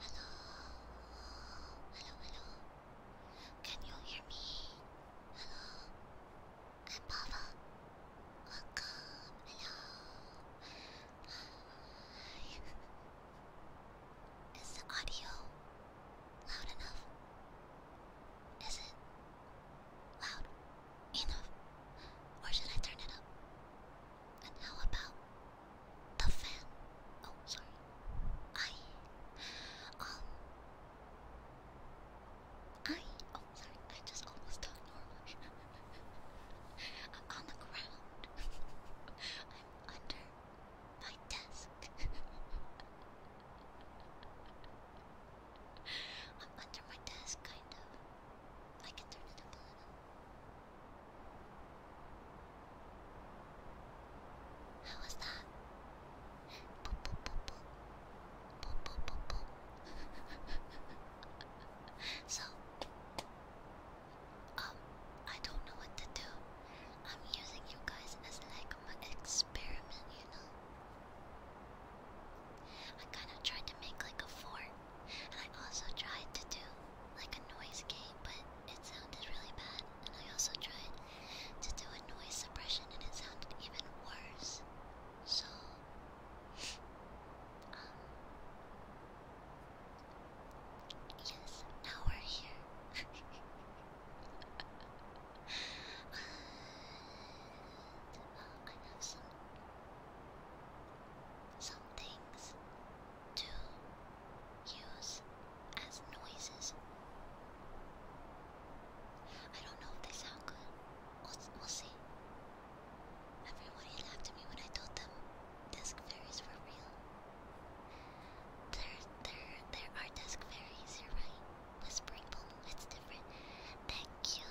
Hello, hello, hello. Can you hear me? Hello, I'm Welcome. Hello. Is the audio loud enough? Is it? Loud? Enough? Or should I turn it up? And how about the fan? Oh, sorry. I. Um. I. Oh, sorry. I just almost talked normally. I'm on the ground. I'm under my desk. I'm under my desk, kind of. I can turn it up How was that? so, um, I don't know what to do. I'm using you guys as like my experiment, you know? I kind of tried to make like a fort, and I also tried to do like a noise gate, but it sounded really bad. And I also tried to do a noise suppression, and it sounded even worse. So, um, yes, now we're here. Um, I have some some things to use as noises. I don't know if they sound good. We'll, see. Everybody laughed at me when I told them desk fairies were real. There, there, there are desk fairies. You're right. Whispering it's different. Thank you.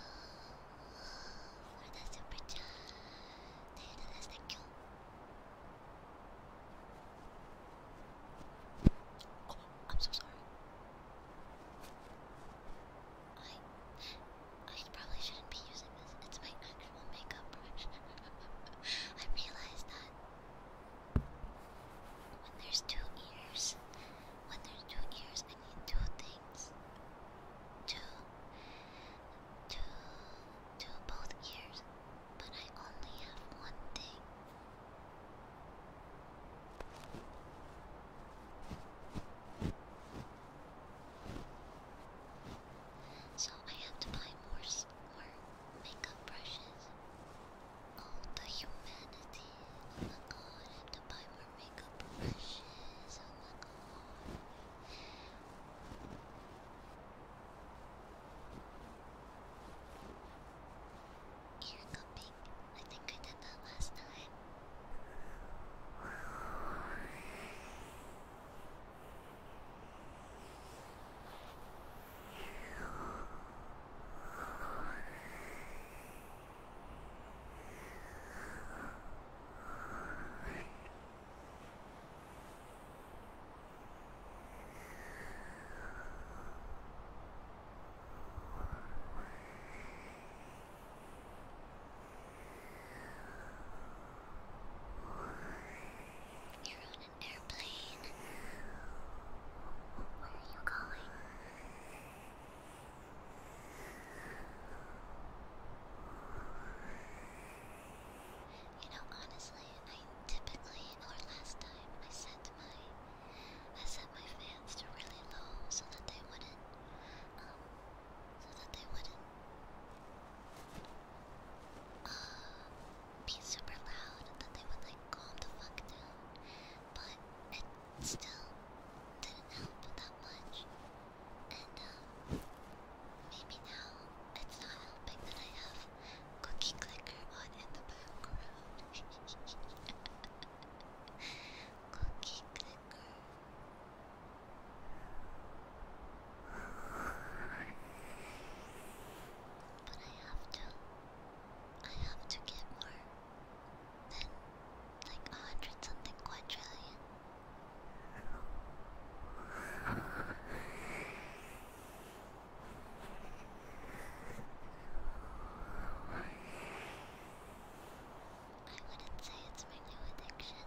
I'm so sorry. I probably shouldn't be using this. It's my actual makeup brush. I realized that when there's two ears, when there's two ears, I need two things. Two, two, two, both ears, but I only have one thing. So I have to buy more more makeup brushes. Oh, the humanity! Oh my God! I have to buy for makeup brushes. Oh my god. Ear cupping. I think I did that last time. You're on an airplane. Where are you going? You know, honestly, I typically, or last time, I set my, I set my fans to really low so that they wouldn't, um, so that they wouldn't, uh, be super loud, that they would like calm the fuck down. But it still didn't help that much. And um, maybe now it's not helping that I have cookie clicker on in the background. cookie clicker. But I have to. I have to get more then, like a hundred something quadrillion. I wouldn't say it's my new addiction,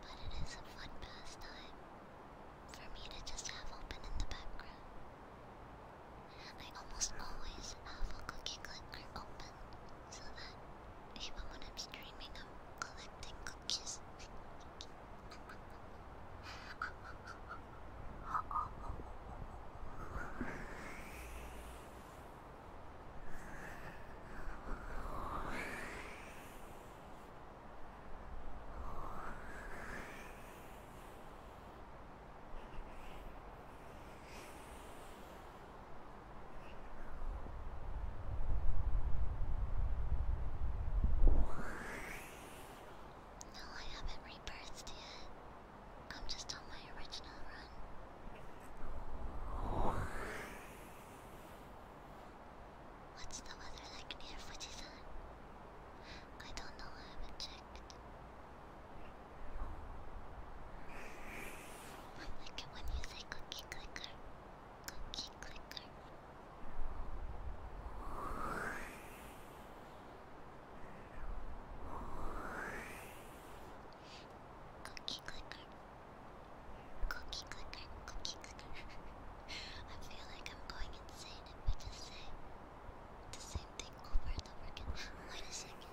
but it is a fun pastime for me to just have open in the background. I almost always have a cookie clicker open so that even when I'm streaming, I'm collecting cookies. No, I haven't rebirthed yet. I'm just on my original run. What's the weather like near Fujisan? I don't know, I haven't checked. I'm looking when you say cookie clicker. Cookie clicker. Cookie clicker. Cookie clicker. Cookie clicker. I feel like I'm going insane if I just say the same thing over and over again. Wait a second.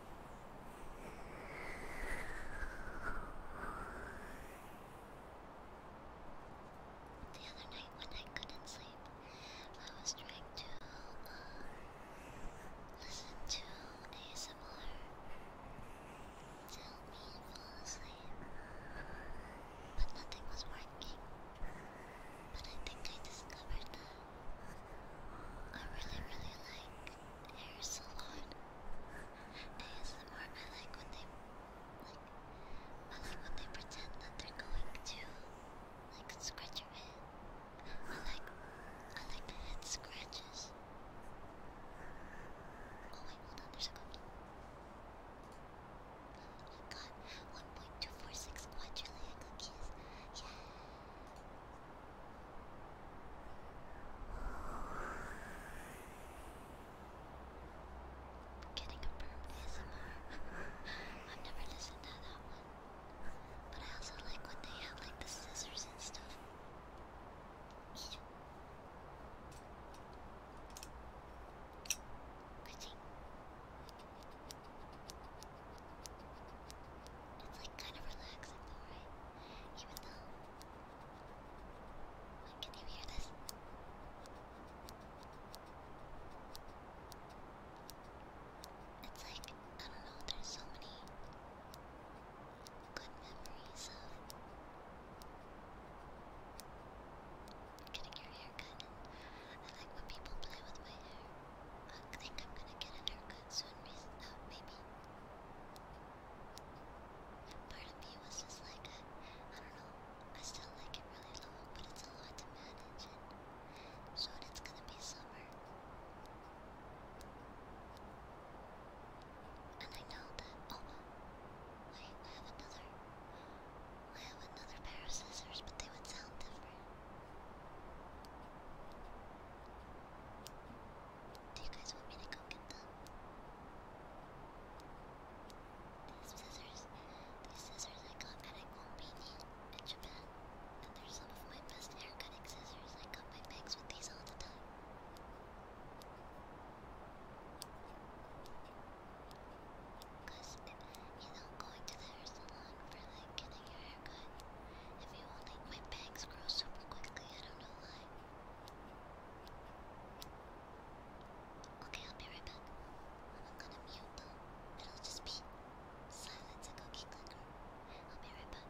The other night when I couldn't sleep, I was trying to listen to ASMR to help me fall asleep, but nothing was working. But I think I discovered that I really, really like hair salon. I like when they like I like when they pretend that they're going to like scratch your head. I like I like the head scratches. Oh wait, hold on, there's a cookie. Oh my 1.246 quadrillion cookies. Yeah. Getting a burp ASMR. I've never listened to that one. But I also like what they have like the scissors and stuff. It's like kind of relaxing right? Even though. can you hear this? It's like, I don't know, there's so many good memories of getting your hair cut. And like when people play with my hair. I think I'm gonna get a haircut soon, uh, maybe. Part of me was just like, I, I don't know, I still like it really long, but it's a lot to manage, and soon it's gonna be summer. And I know that, oh, wait, I have another, I have another pair of scissors, but they would sound different. Do you guys want me to go get them? These scissors, these scissors I got at a company in Japan, and they're some of my best hair cutting scissors. I cut my bangs with these all the time. you know, going to the hair salon for like if you only my bangs grow super quickly, I don't know why. Okay, I'll be right back. I'm gonna mute though. It'll just be silence cookie clicker. I'll be right back.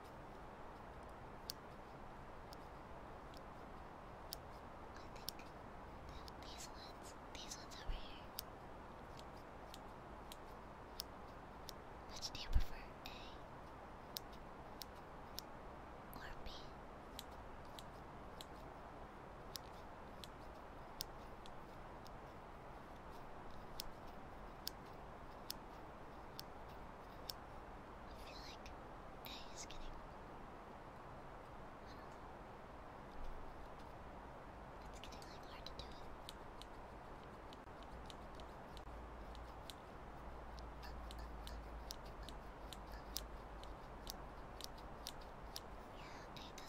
I think these ones, these ones over here. Which do you prefer, A or B? I I feel like A is getting. It's getting like hard to do it. Yeah, A does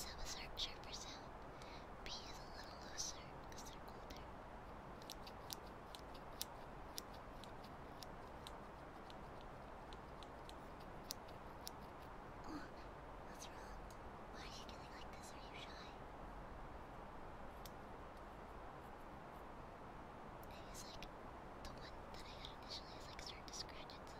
have a sharp, sharper sound. B is a little looser because they're older what's wrong? Why are you doing like this? Are you shy? And like, the one that I initially is like starting to scratch itself.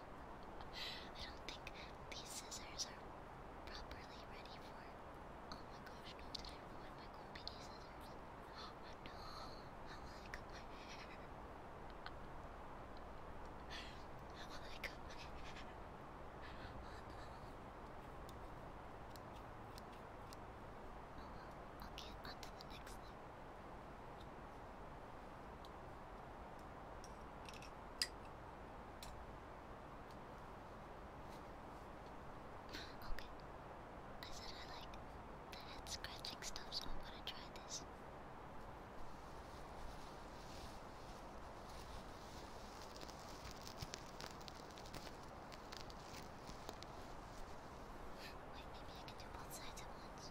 I don't think these scissors are properly ready for. Oh my gosh, no, did I ruin my cool piggy scissors? Oh no, how will I cut my hair? How will I cut my hair? Oh, okay, on the next thing. Okay. I said I like the head scratching stuff, so I'm gonna try this. Wait, maybe I can do both sides at once.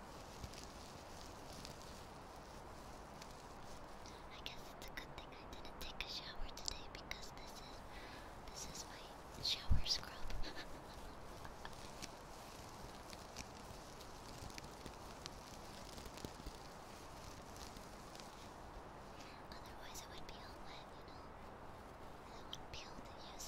I guess it's a good thing I didn't take a shower today because this is this is my shower scrub. Otherwise, it would be all wet, you know. I would be able to use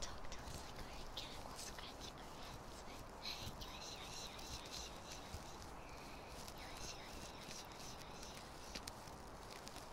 Talk to us like a cat while scratching our heads. Yes, yes, yes, yes, yes, yes. Yes, yes, yes, yes, yes, yes.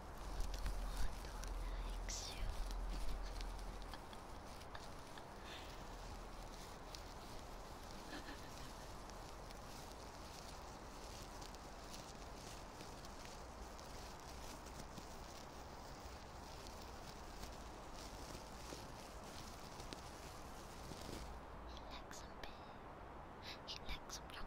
one likes you. He likes some big. He likes some younger.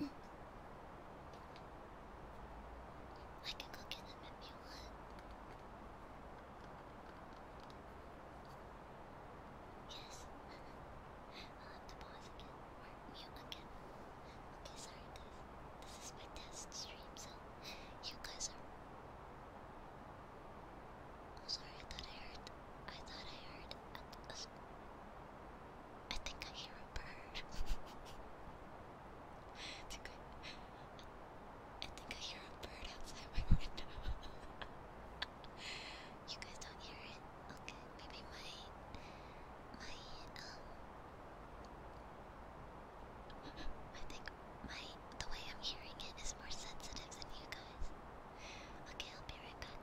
I can go get them if you want. Yes. I'll have to pause again or mute again. Okay, sorry guys. This is my test stream, so you guys are. Oh, sorry. I thought I heard. I thought I heard I think I hear a bird. I, think I think I hear a bird outside my window. you guys don't hear it? Okay, maybe my my um I think my the way I'm hearing it is more sensitive than you guys. Okay, I'll be right back.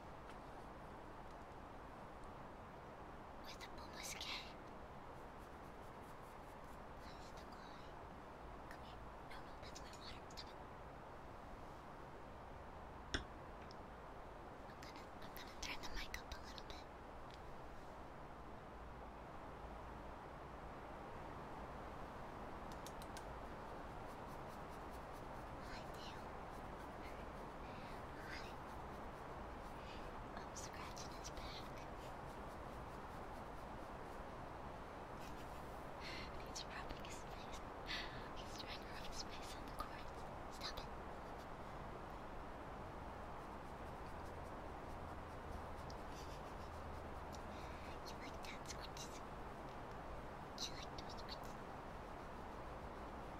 With the boomer's gay. That's the Come here. No, no, that's my water. Stop it. I'm gonna, I'm gonna turn the mic up a little bit. Hi, Dale. I'm scratching his back. And he's rubbing his face. He's trying to rub his face on the cords. Stop it. You like that squishes? You like those squishes?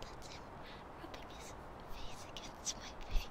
That's him rubbing his face against my face.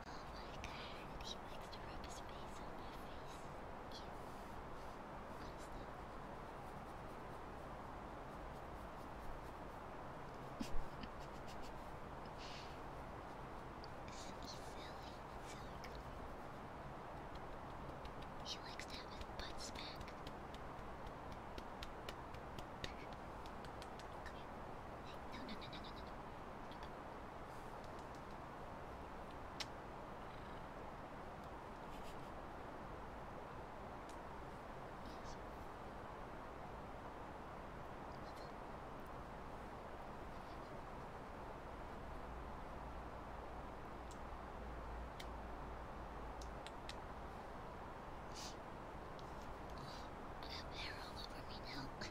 Oh my god, he likes to rub his face on my face. Ew. that? Isn't he silly? Silly girl. He likes to have his butt smack. They're all over me now.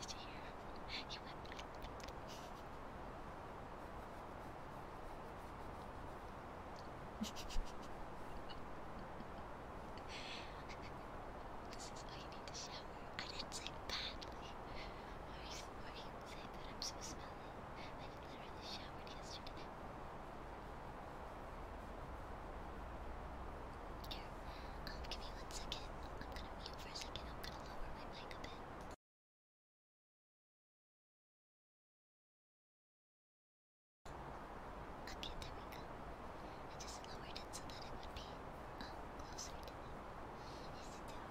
Did you hear him? He went. this is why you need to shower. I didn't say badly. Or you, you would that I'm so smelly. I literally showered yesterday. Here, um, give me one second. I'm gonna mute for a second. I'm gonna lower my mic a bit. Okay, there we go. I just lowered it so that it would be um, closer to me. Is it down low? Little car,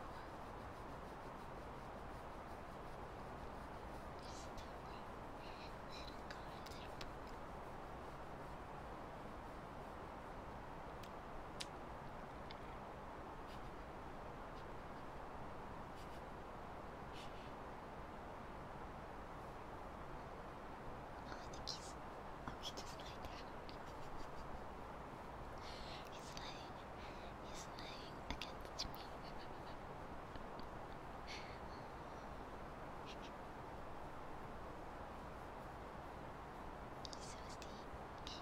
think he's. Oh, he just laid down. he's lying. He's lying against me stinky grandpa? Yes, you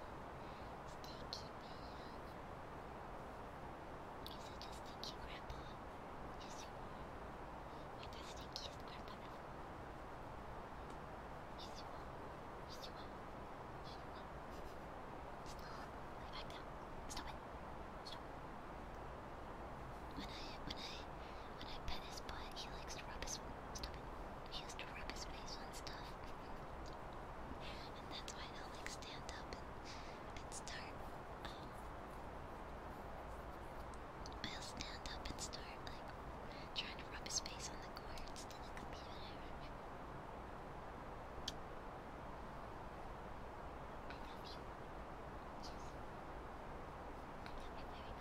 are. You're the stinkiest grandpa ever. Yes, you are. Yes, you are. Yes, you are. Stop. Lay back down. Stop it. Stop. When I, when I, when I pet his butt, he likes to rub his forehead. He used to rub his face on stuff. and that's why I'll like stand up and, start. Um, I'll stand up and start like trying to rub his face on the cords to the computer.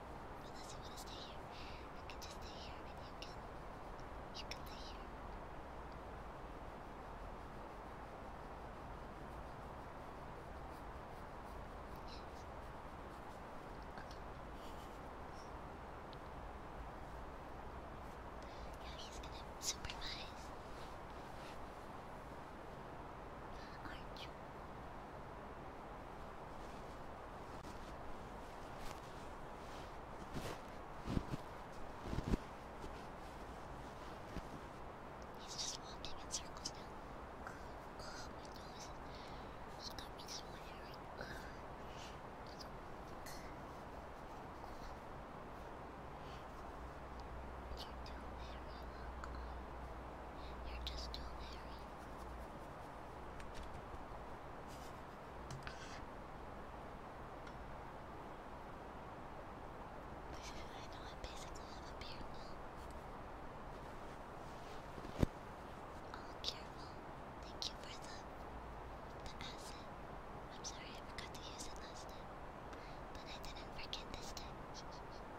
Unless you want to stay here, you can just stay here and you can. You can stay here. Yes. Okay. Yeah, he's gonna supervise. Aren't you? He's just walking in circles now. Oh, my nose. He got me so hairy. Oh. You're too hairy, You're just too hairy. I know I basically a beard now. Oh, careful. Thank you for the the acid. I'm sorry I forgot to use it last time, but I didn't forget this time.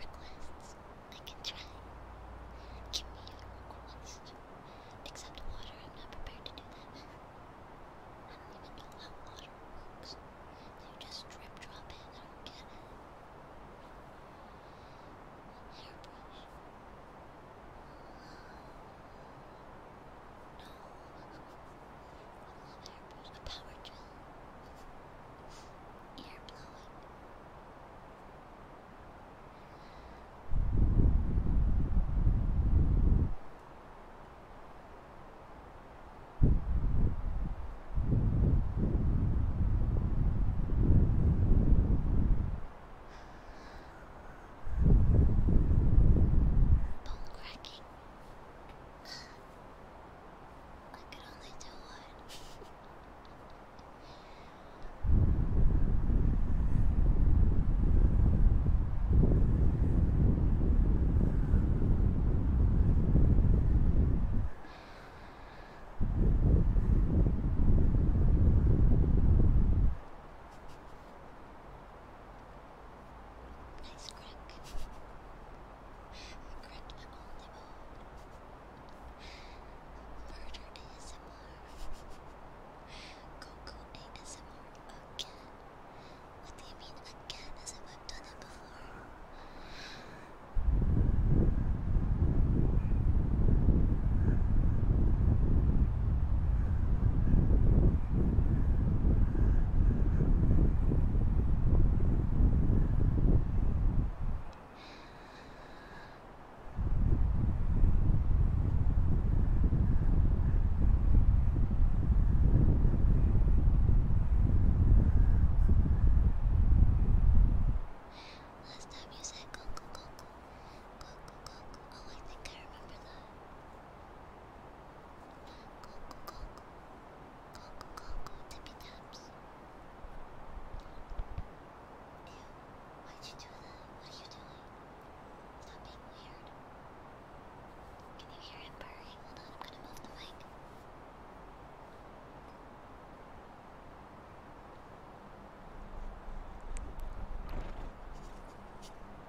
Requests. I can try. Give me your request. Except water, I'm not prepared to do that. I don't even know how water works. You just drip drop it, I don't get it. Hairbrush. No. A power drill. Air blowing. Bone cracking. I could only do one. Nice crack. I cracked my only Murder ASMR. Coco ASMR again. What do you mean again? As if I've done it before. Last time you said go go go go go go go go. Oh, I think I remember that. Coco, Coco, Coco, tippy taps. Ew, why'd you do that? What are you doing? Stop being weird. Can you hear him purring? Hold on, I'm gonna move the mic.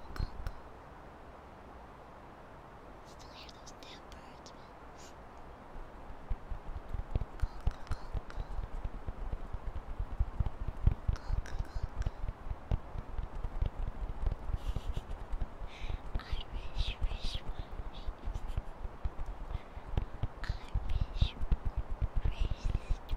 purple cocoa. Still hear those damn birds, man. Cocoa, cocoa. Cocoa, cocoa. Irish, Irish, Irish. Irish, racist,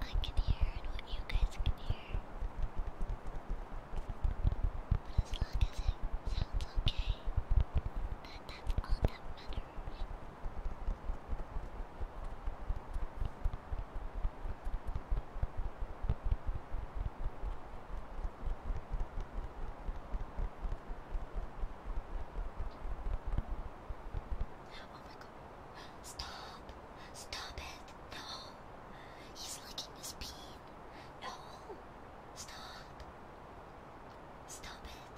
I can hear and what you guys can hear. But as long as it sounds okay, then that's all that matters. Oh my Stop. Stop it. No. He's licking his peen. No. Stop. Stop it.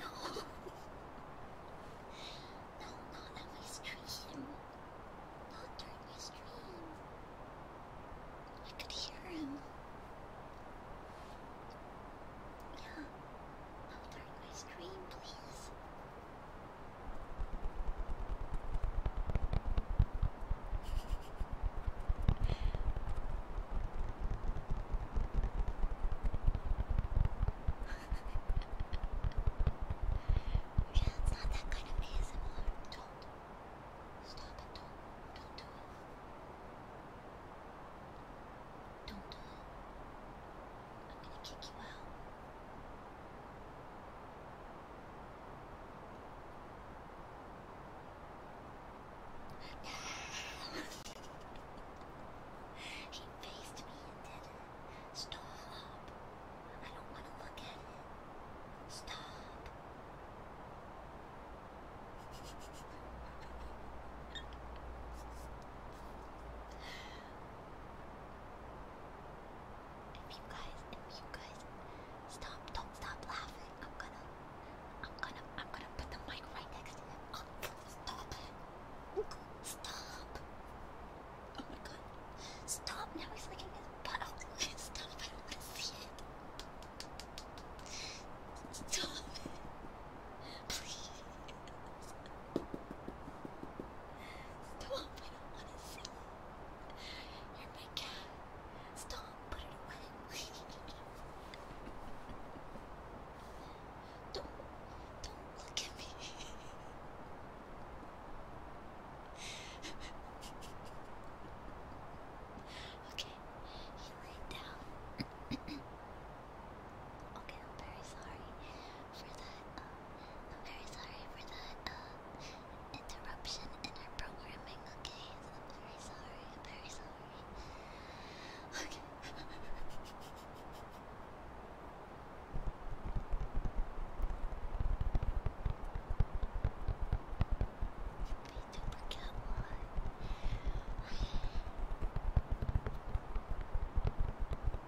No. no, not on my stream. Not during my stream. I could hear him. Yeah. I'll dark my screen, please. it's not that kind of ASMR. Don't. Stop it. Don't. Don't do it. Don't do it. I'm gonna kick you out. No! he faced me and did it. Stop. I don't want to look at it. Stop. If you guys, if you guys, stop, don't stop laughing. I'm gonna, I'm gonna, I'm gonna put the mic right next to him. Oh, stop it. Stop. Oh my god. Stop. Now he's licking his butt. stop. I don't want to see it. Stop it. Please. Stop, I don't want to see you. You're my cat. Stop, put it away. don't, don't look at me. okay, you lay down. Okay, I'm very sorry for that. Um, I'm very sorry for that um, interruption in our programming. Okay, I'm very sorry. I'm very sorry. Okay.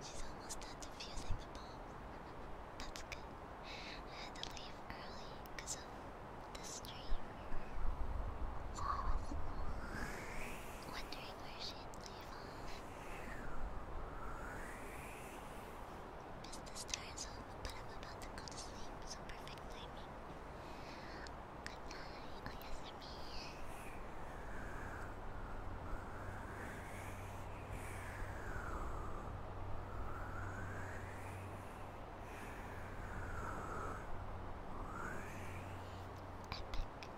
She's almost done defusing the bomb. That's good. I had to leave early because of the stream. So I was wondering where she had Miss the stars, but I'm about to go to sleep, so perfect timing. oh yes, me. Epic.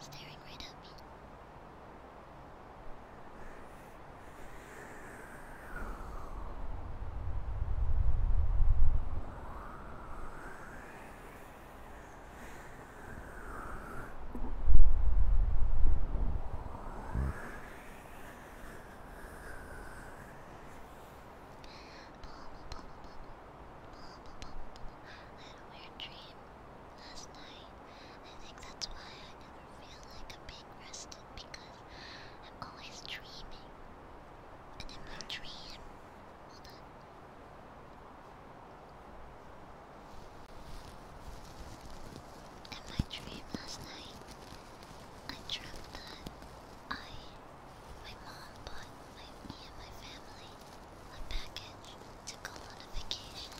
staring right at me. I had a weird dream last night. I think that's why I never feel like I'm being rested because I'm always dreaming. And in my dream, hold on. In my dream last night, I dreamt that I, my mom, bought me and my family a package to go on a vacation.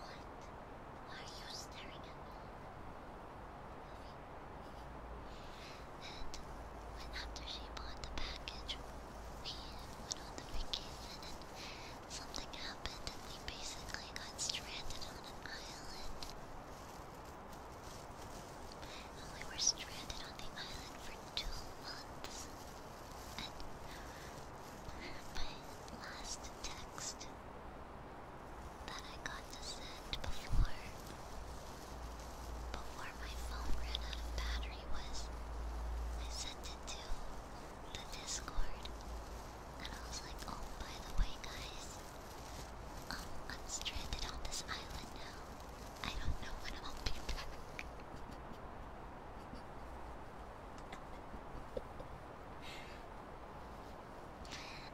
What? Why are you staring at me? And when after she bought the package, we went on the vacation and something happened and we basically got stranded on an island. We were stranded on the island for two months. And my last text that I got to send before before my phone ran out of battery was I sent it to the Discord and I was like, oh by the way guys, um, I'm stranded on this island now. I don't know when I'll be back.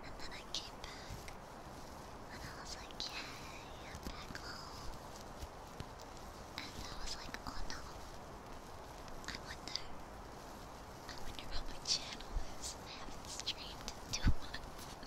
and then I came back, and I was like, yay, I'm back home. And I was like, oh no, I wonder, I wonder how my channel I haven't streamed in two months.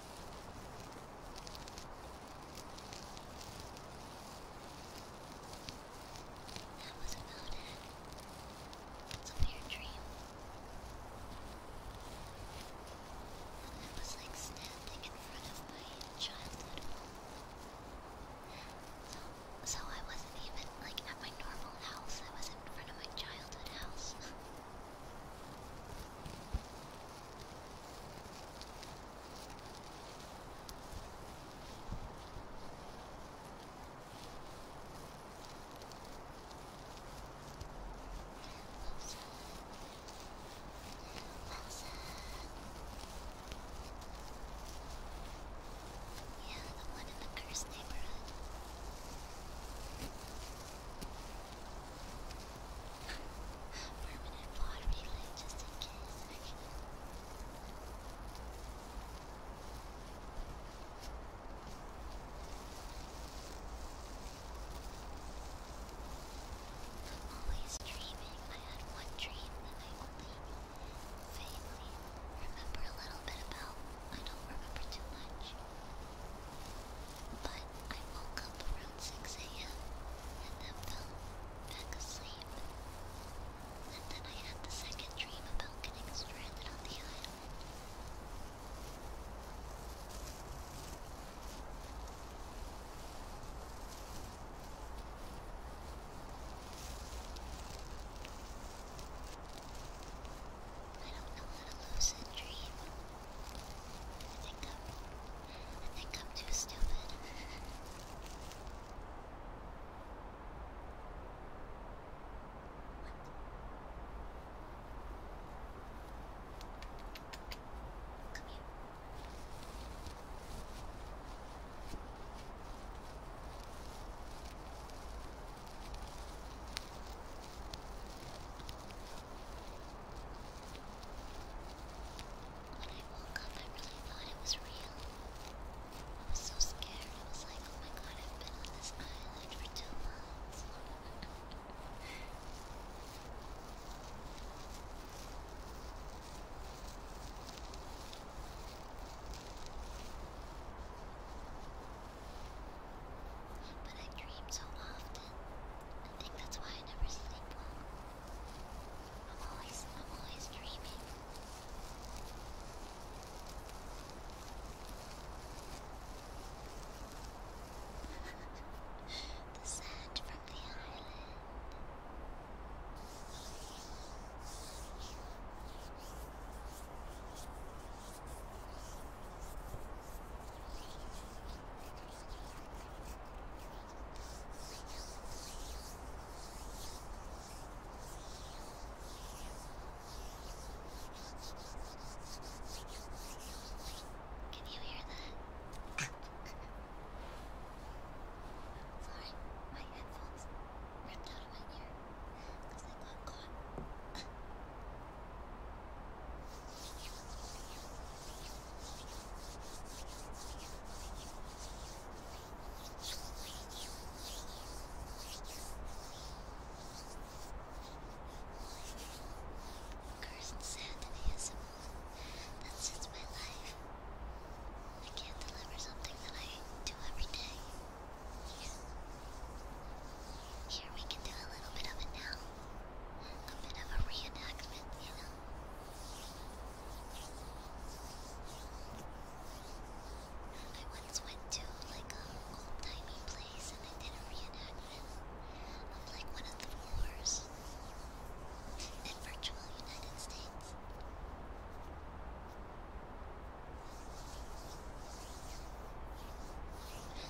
That was about it. It's a weird dream. And was like standing in front of my childhood So, so I wasn't even like at my normal house, I was in front of my childhood house. Yeah, the one in the cursed neighborhood permanent pod relay just in case. I'm always dreaming. I had one dream that I only vaguely remember a little bit about. I don't remember too much. But I woke up around 6 a.m. and then fell back asleep. And then I had the second dream about getting stranded on the island. I don't know how to lucid dream. I think I'm I think I'm too stupid. Come here. When I woke up, I really thought it was real. I was so scared. I was like, oh my god, I've been on this island for two months. But I dream so often. I think that's why I never sleep well. I'm always, I'm always dreaming. the sand from the island. Can you hear that? Sorry, my headphones ripped out of my ear because I got caught. Curse and sand That's just my life. I can't deliver something that I do every day. Here we can do a bit of it now. A bit of a reenactment, you know. I once went to like a old timey place and I did a reenactment of like one of the wars in virtual United States.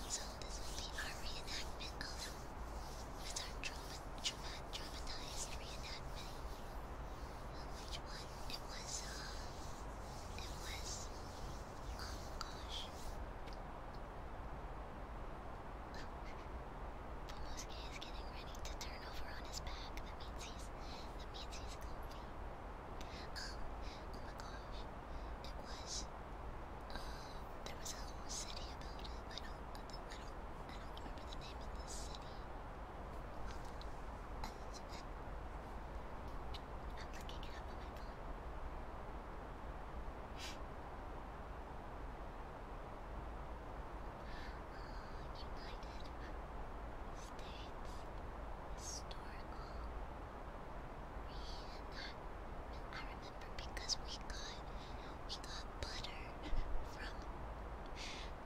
So this would be our reenactment of with our trauma trauma traumatized reenactment. Um, which one? It was, uh, it was, oh gosh. Pomoski is getting ready to turn over on his back. That means he's, that means he's comfy. Um, oh my gosh. It was, uh, there was a whole city about it. I don't, I don't, I don't, I don't remember the name of this city. I'm looking it up on my phone. United States Historical Reenactment because we got we got butter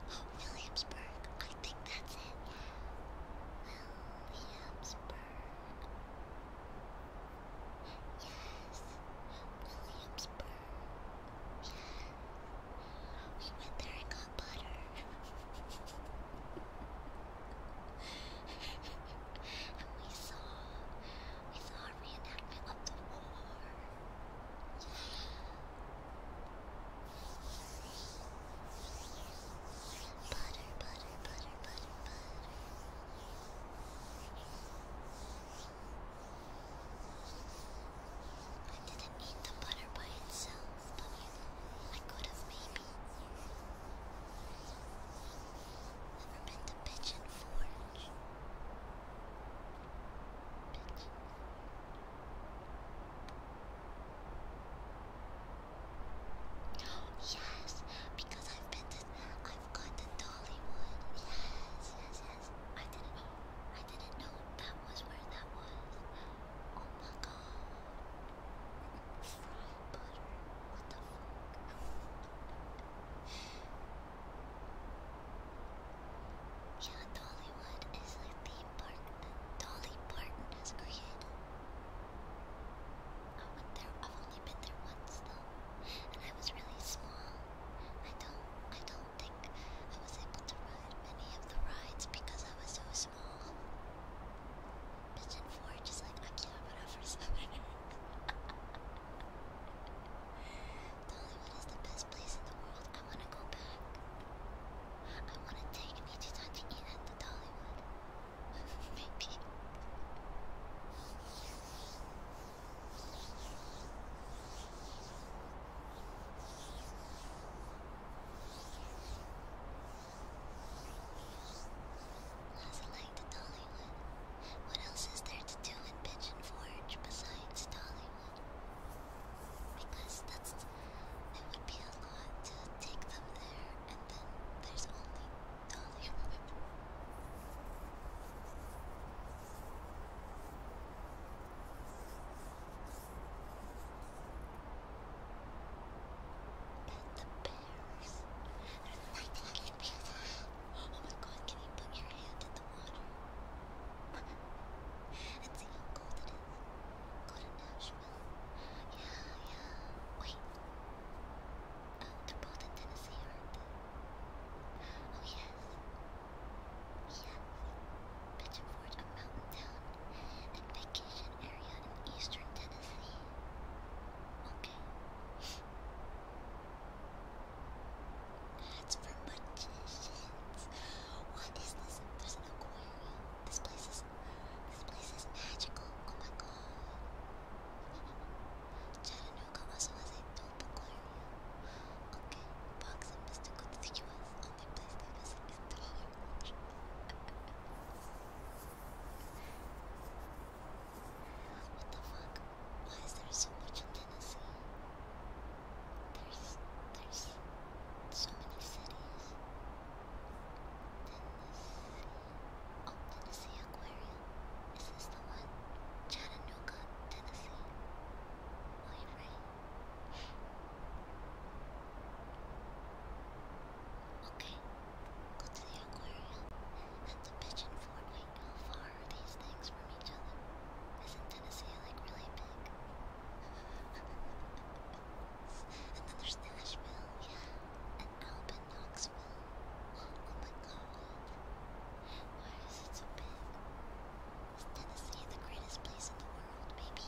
from Williamsburg. I think that's it. Williamsburg. Yes, Williamsburg. Yes. We went there and got butter. and we saw I saw a reenactment of the war. Butter, butter, butter, butter, butter. I didn't eat the butter by itself, but I could have maybe. Ever been to Pigeon Forge? Yes, because I've been to, I've gone to Dollywood. Yes, yes, yes. I didn't, I didn't know that was where that was. Oh my god. What the fuck? Yeah, Dollywood is like the park that Dolly Parton has created. I went there, I've only been there once though, and I was really small. I don't, I don't think I was able to ride many of the rides because I was so small. Pigeon 4 just like, I can't run for summer. Dollywood is the best place in the world. I want to go back. I want to take Nichisan to eat at the Dollywood. Maybe. How's it like to Dollywood? What else is there to do in Pigeon Forge besides Dollywood? Because that's it would be a lot to take them there, and then there's only Dollywood. Pet the bears. I not like that. Oh my god, can you put your hand and see how cold it is. Go to Nashville. Yeah, yeah. Wait. Oh, they're both in Tennessee, aren't they? Oh, yes. Yes. Pigeon Forge, a mountain town and vacation area in eastern Tennessee. Okay. That's for magicians. What is this? There's an aquarium. This place is this place is magical. Oh my god. Chattanooga also has a dope aquarium. Okay, Box and Mr. Good to the Only place they visit is Dollar Watch. What the fuck? Why is there so much in Tennessee? There's there's so many cities. Tennessee. Oh, Tennessee Aquarium. Is this the one? Chattanooga, Tennessee. Why oh, right? Okay. Go to the aquarium and the pigeon fort how far are these things from each other? Isn't Tennessee like really big? and then there's Nashville, yeah, and Alban, Knoxville. Oh my why is it so big? Is Tennessee the greatest place in the world, baby?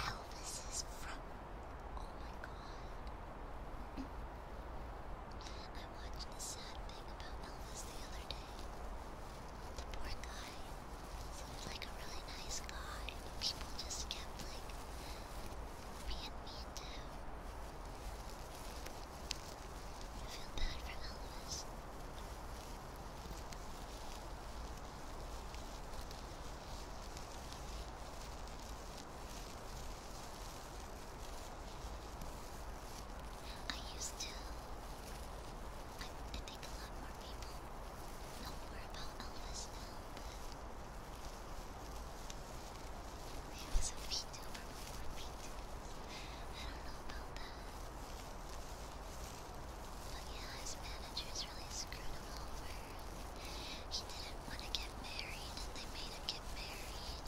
Elvis is from. Oh my god. I watched a sad thing about Elvis the other day. The poor guy seemed like a really nice guy, people just kept like being mean to I feel bad for Elvis. I used to. I, think a lot more people know more about Elvis now, but he was a VTuber before VTubers. I don't know about that. But yeah, his managers really screwed him over. He didn't want to get married, and they made him get married.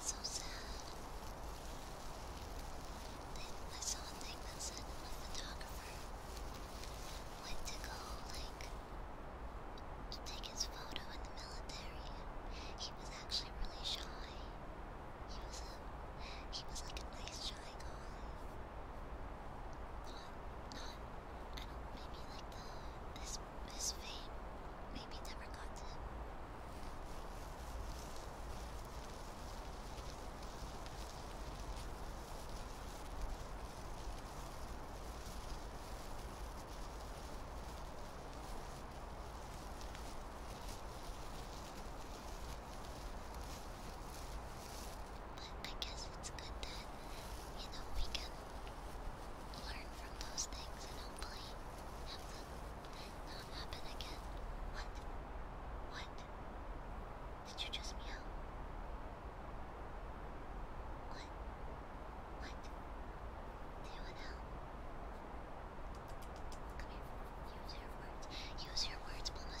So sad. I saw a thing that said my photographer went to go, like, to take his photo in the military. He was actually really shy. He was a, he was like a nice shy guy maybe like the uh, this this fame maybe never got to but I guess it's good that, you know, we can learn from those things and hopefully have them not happen again. What? What? Did you just meow? What? What? Do you want Come here. Use your words. Use your words, Bulma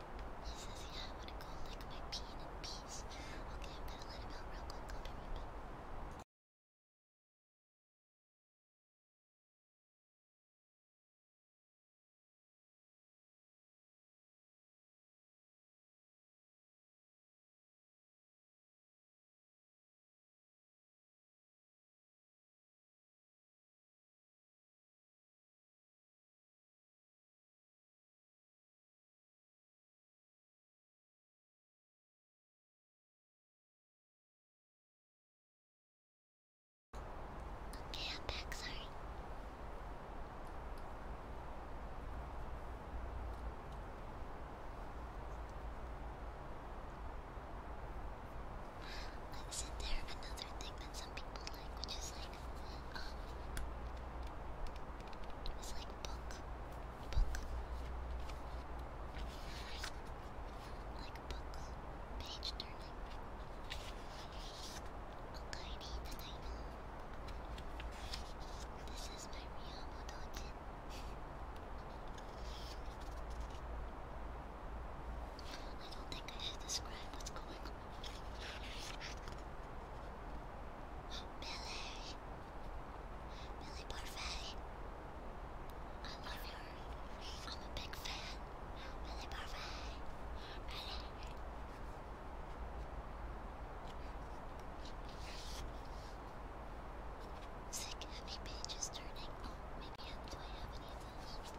He says, yeah, I want to go lick my peen in peace. Okay, I'm gonna let him out real quick. I'll be right back. Okay, I'm back, sorry. Isn't there another thing that some people like, which is like it was like book, book, like book, page turning. Okaini Nagaino. This is my real Modojin. I don't think I should describe what's going on. Billy. Billy Parfait. I love her. I'm a big fan. Billy Parfait. Really? Sick, how many pages turning? Oh, maybe I, do I have any of those?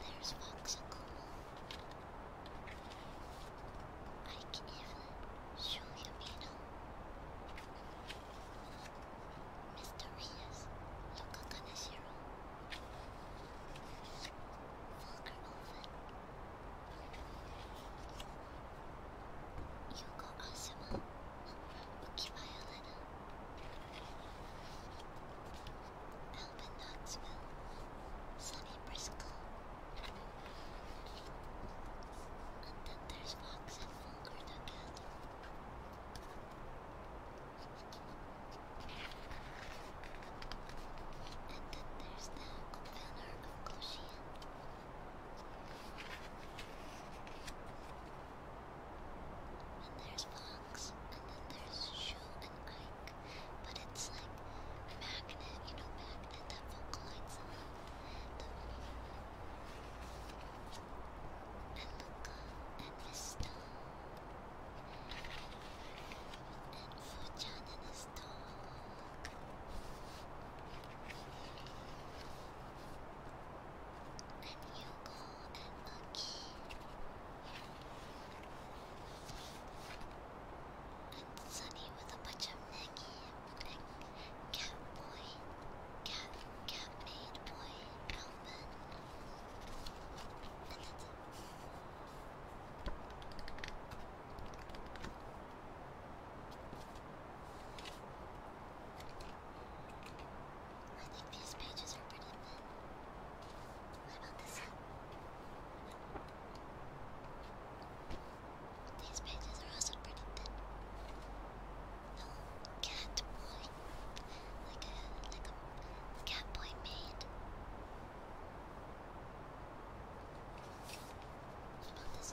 There's Voxicle. I can even show him, you know. Mysterious Yokakaneshiro. Vulgar Oven. Yuko Asuma. Lucky Violetta. Alvin Knoxville. Sunny Briscoe. And then there's Fox and Fulgur again. And then there's the banner of Koshian. And there's Fox, and then there's Shoe and Ike. But it's like a magnet, you know, magnet that vocalizes them out. The and Luca, and his dog. And Fuchan and his dog and you go and lucky and Sunny with a bunch of Maggie and Cat Boy, Cat Cat Maid Boy, Calvin, and I think these pages are pretty thin. What about this These pages are also pretty thin. No, oh, cat boy. Like a, like a, cat boy maid. What about this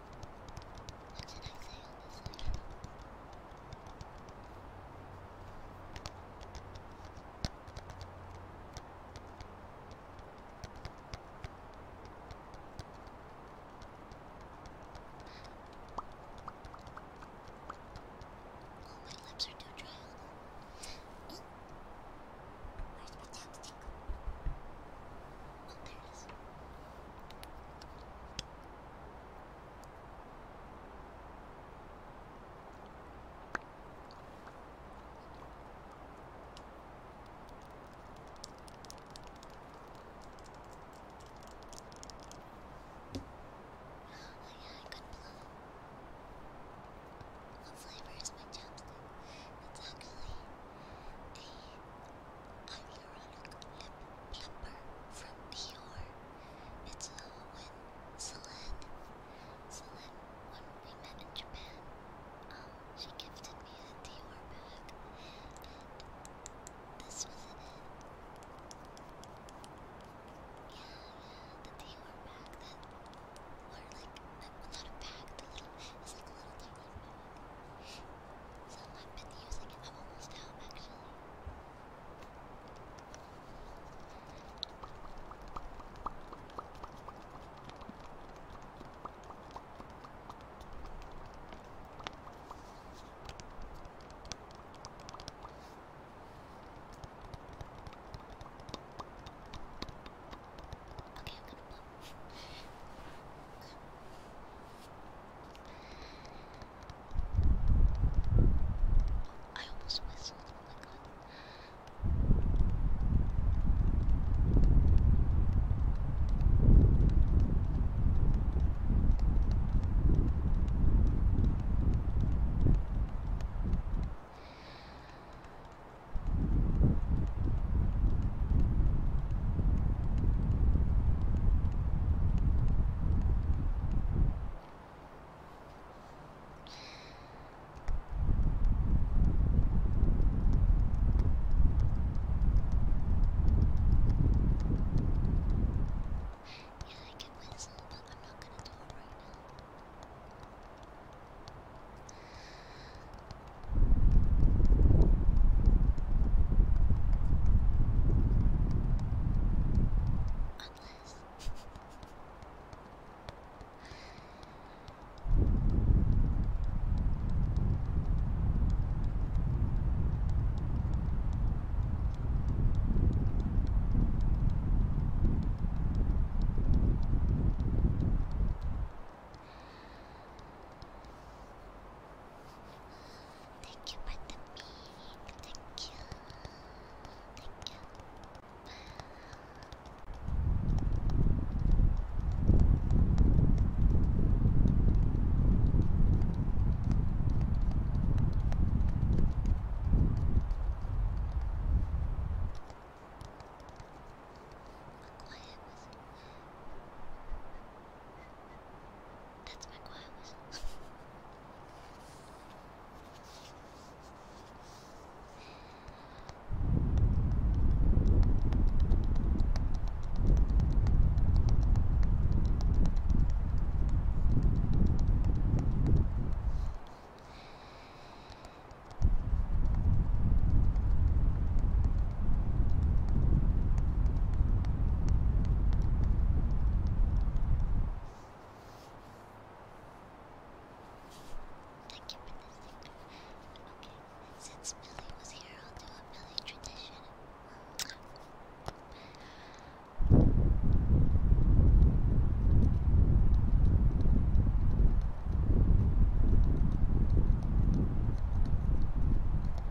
What did I say on this side? Oh, my lips are too dry. Oh. Where's my chapstick? Oh, there it is. Oh, Oh, yeah, I got blue. What flavor is my chapstick? It's actually a hyaluronic lip plumper from Dior. It's Owen Celine. Celine, when we met in Japan, um, she gifted me a Dior bag, and this was it. Yeah, yeah, the Dior bag that, or like, not a bag, the little, it's like a little Dior so I've been using it. I'm almost out actually. Okay, I'm gonna blow I almost whistled, oh my god. Yeah, I can whistle, but I'm not gonna do it right now. Unless Thank you for the meat. Thank you. Thank you. That's my quiet whistle. Okay, since Billy was here, I'll do a Billy tradition.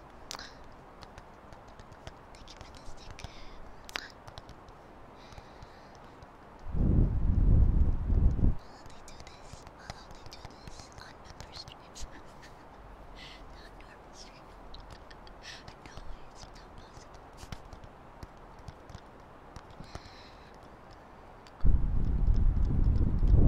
Thank you for the sticker. I'll only do this. I'll only do this on member streams. not normal it's not possible.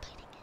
biting it.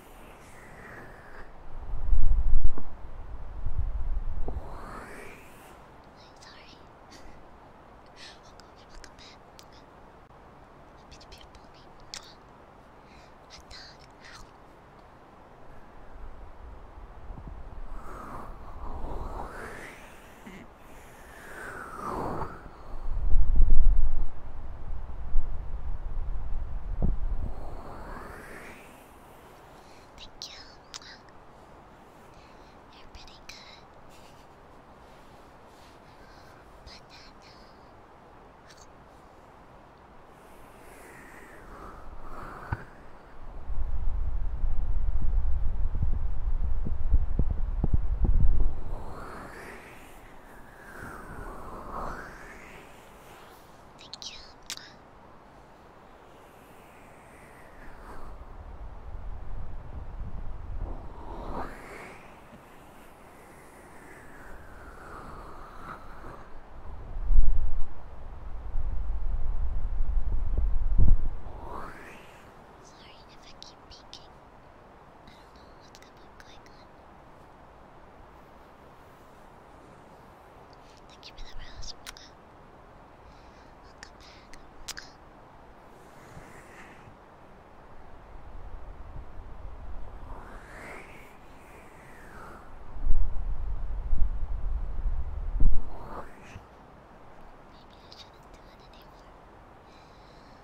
I'm sorry. welcome, welcome back. Happy to be a pony. A dog. Ow. Thank you. You're pretty good. Banana. Thank you. Sorry if I keep peeking know what's going to be going on. Thank you for the rose. Welcome Maybe I shouldn't do it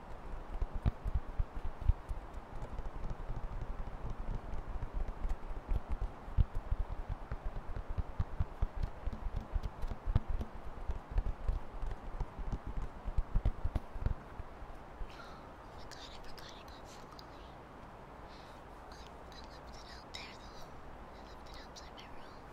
Oh my god, I forgot I I left it out there though. I left it outside my room.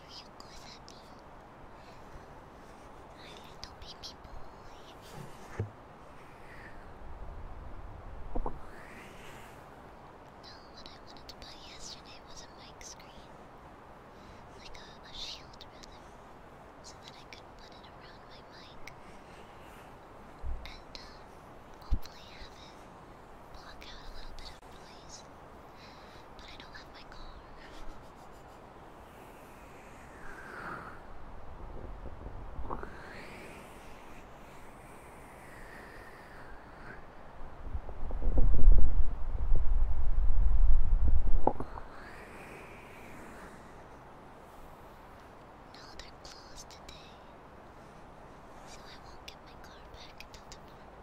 here little baby boy. No, what I wanted to buy yesterday was a mic screen. Like a, shield, really. So that I could put it around my mic. And hopefully have it block out a little bit other place. But I don't have my car. No, they're closed today. So I won't get my car back until tomorrow.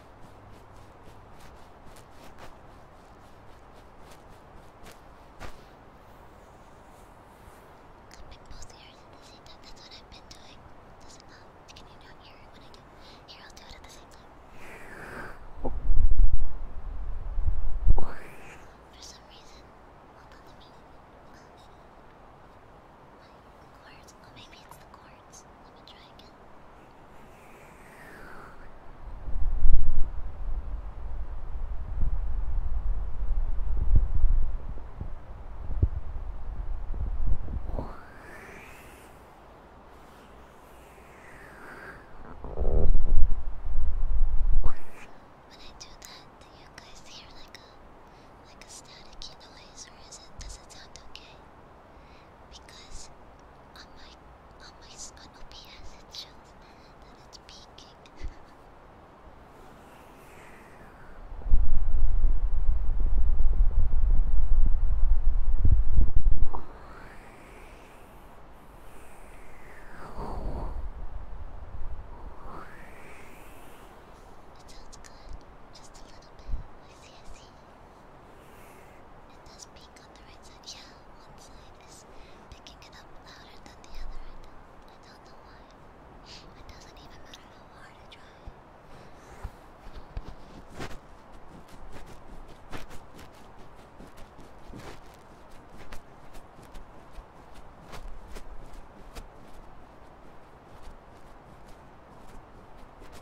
been posting here, you can see that that's what I've been doing. Doesn't um, can you not hear it when I do? Here, I'll do it at the same time. For some reason, hold on, let me. Um, my cords. Oh, maybe it's the cord words. Let me try again. When I do that, do you guys hear like a like a staticky noise or is it does it sound okay? Okay because on my on my on OBS it shows that it's peaking. It sounds good, just a little bit. I see, I see. It does peak on the right side. Yeah, one side is picking it up louder than the other. I don't, I don't know why. It doesn't even matter how hard I try. All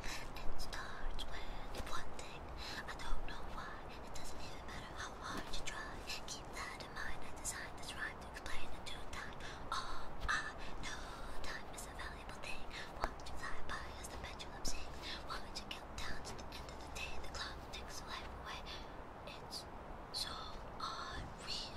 It starts with one thing. I don't know why. It doesn't even matter how hard you try. Keep that in mind. I designed this rhyme to explain in due time. All I know, time is a valuable thing. Watch you fly by as the pendulum sings. Watch you count down to the end of the day. The clock takes away. It's so unreal.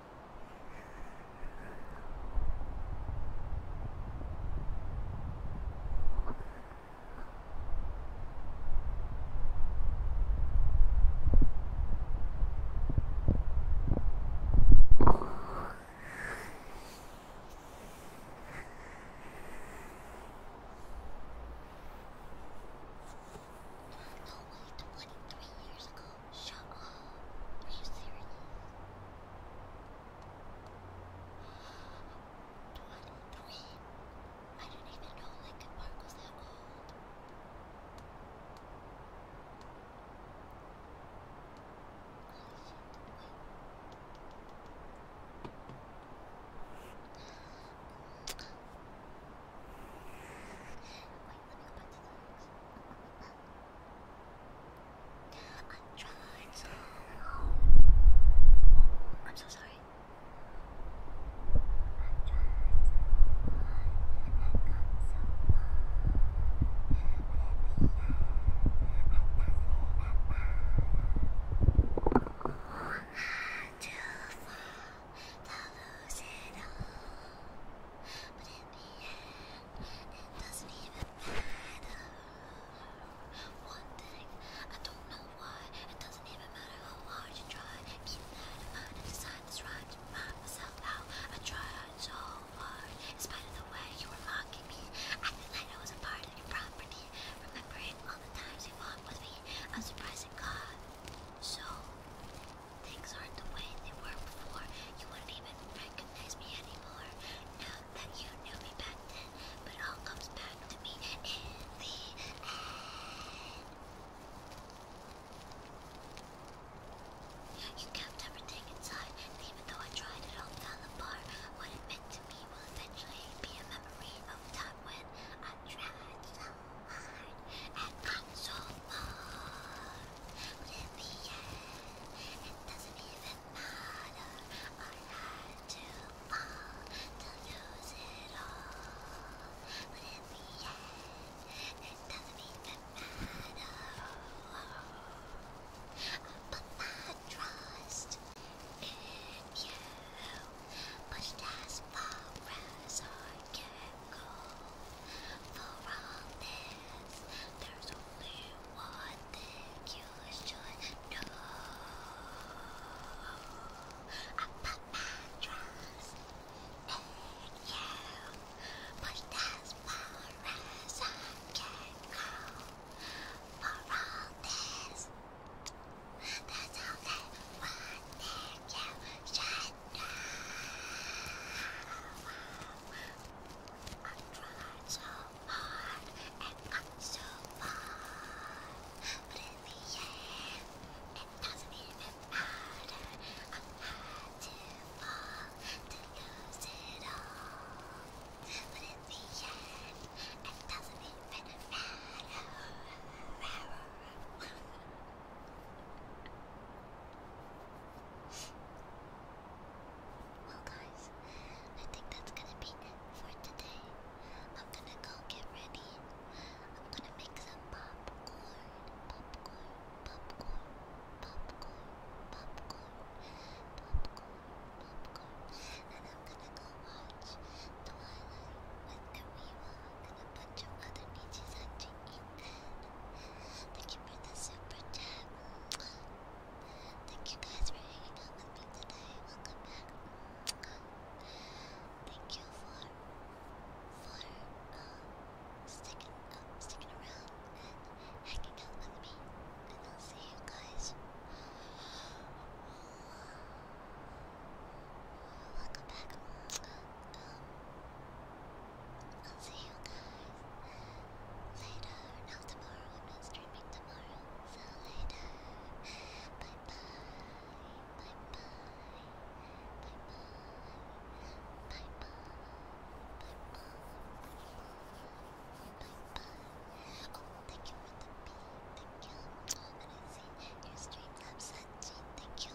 No way, 23 years ago. Shut up. Are you serious? Twenty-three. I didn't even know Lincoln Park was that old. Holy shit, wait. Wait, I'm trying so hard. I'm so sorry. I tried so hard. I got so far. But we are Too far to lose it all. But in the end, it doesn't even matter. One thing, I don't know why, it doesn't even matter how hard you try. Keep that in mind and decide this rhyme to map myself out. I tried so hard, in spite of the way you were mocking me. Acting like I was a part of your property. Remembering all the times you walked with me, I'm surprised it got so Things aren't the way they were before. You wouldn't even recognize me anymore. Now that you knew me back then, but it all comes back to me in the end. You kept everything inside, and even though I tried, it all fell apart. What it meant to me will eventually be a memory of time when I tried hard and so hard. Would it be yeah? It doesn't even matter. I had to fall to lose it all. Would it be yeah? It doesn't even matter. I put my trust in you. Pushed as far as I can go around this. There's only one thing you should know. A Patras made you, but as far I can go. For all this, there's only one thing you should I tried so hard and got so far, but in the end, it doesn't even matter. I had to fall to lose it all, but in the end, it doesn't even matter. Well, guys, I think that's gonna be it for today. I'm gonna go get ready. I'm gonna make some popcorn, popcorn, popcorn, popcorn, popcorn, popcorn, popcorn, and I'm gonna go watch The Twilight with Kariwa and a bunch of other bitches actually. Thank you for the super chat. Thank you guys for hanging out with me today. Welcome back. Thank you for for um, sticking um, sticking around and hanging out with me. And I'll see you guys. Welcome back. Um, I'll see you guys later. Not tomorrow, I'm not streaming tomorrow. So later. Bye bye. Bye bye. Bye bye. Bye bye. Bye bye. Bye bye. Oh, thank you for the beat. Thank you. And I see your streams have Sanji. Thank you.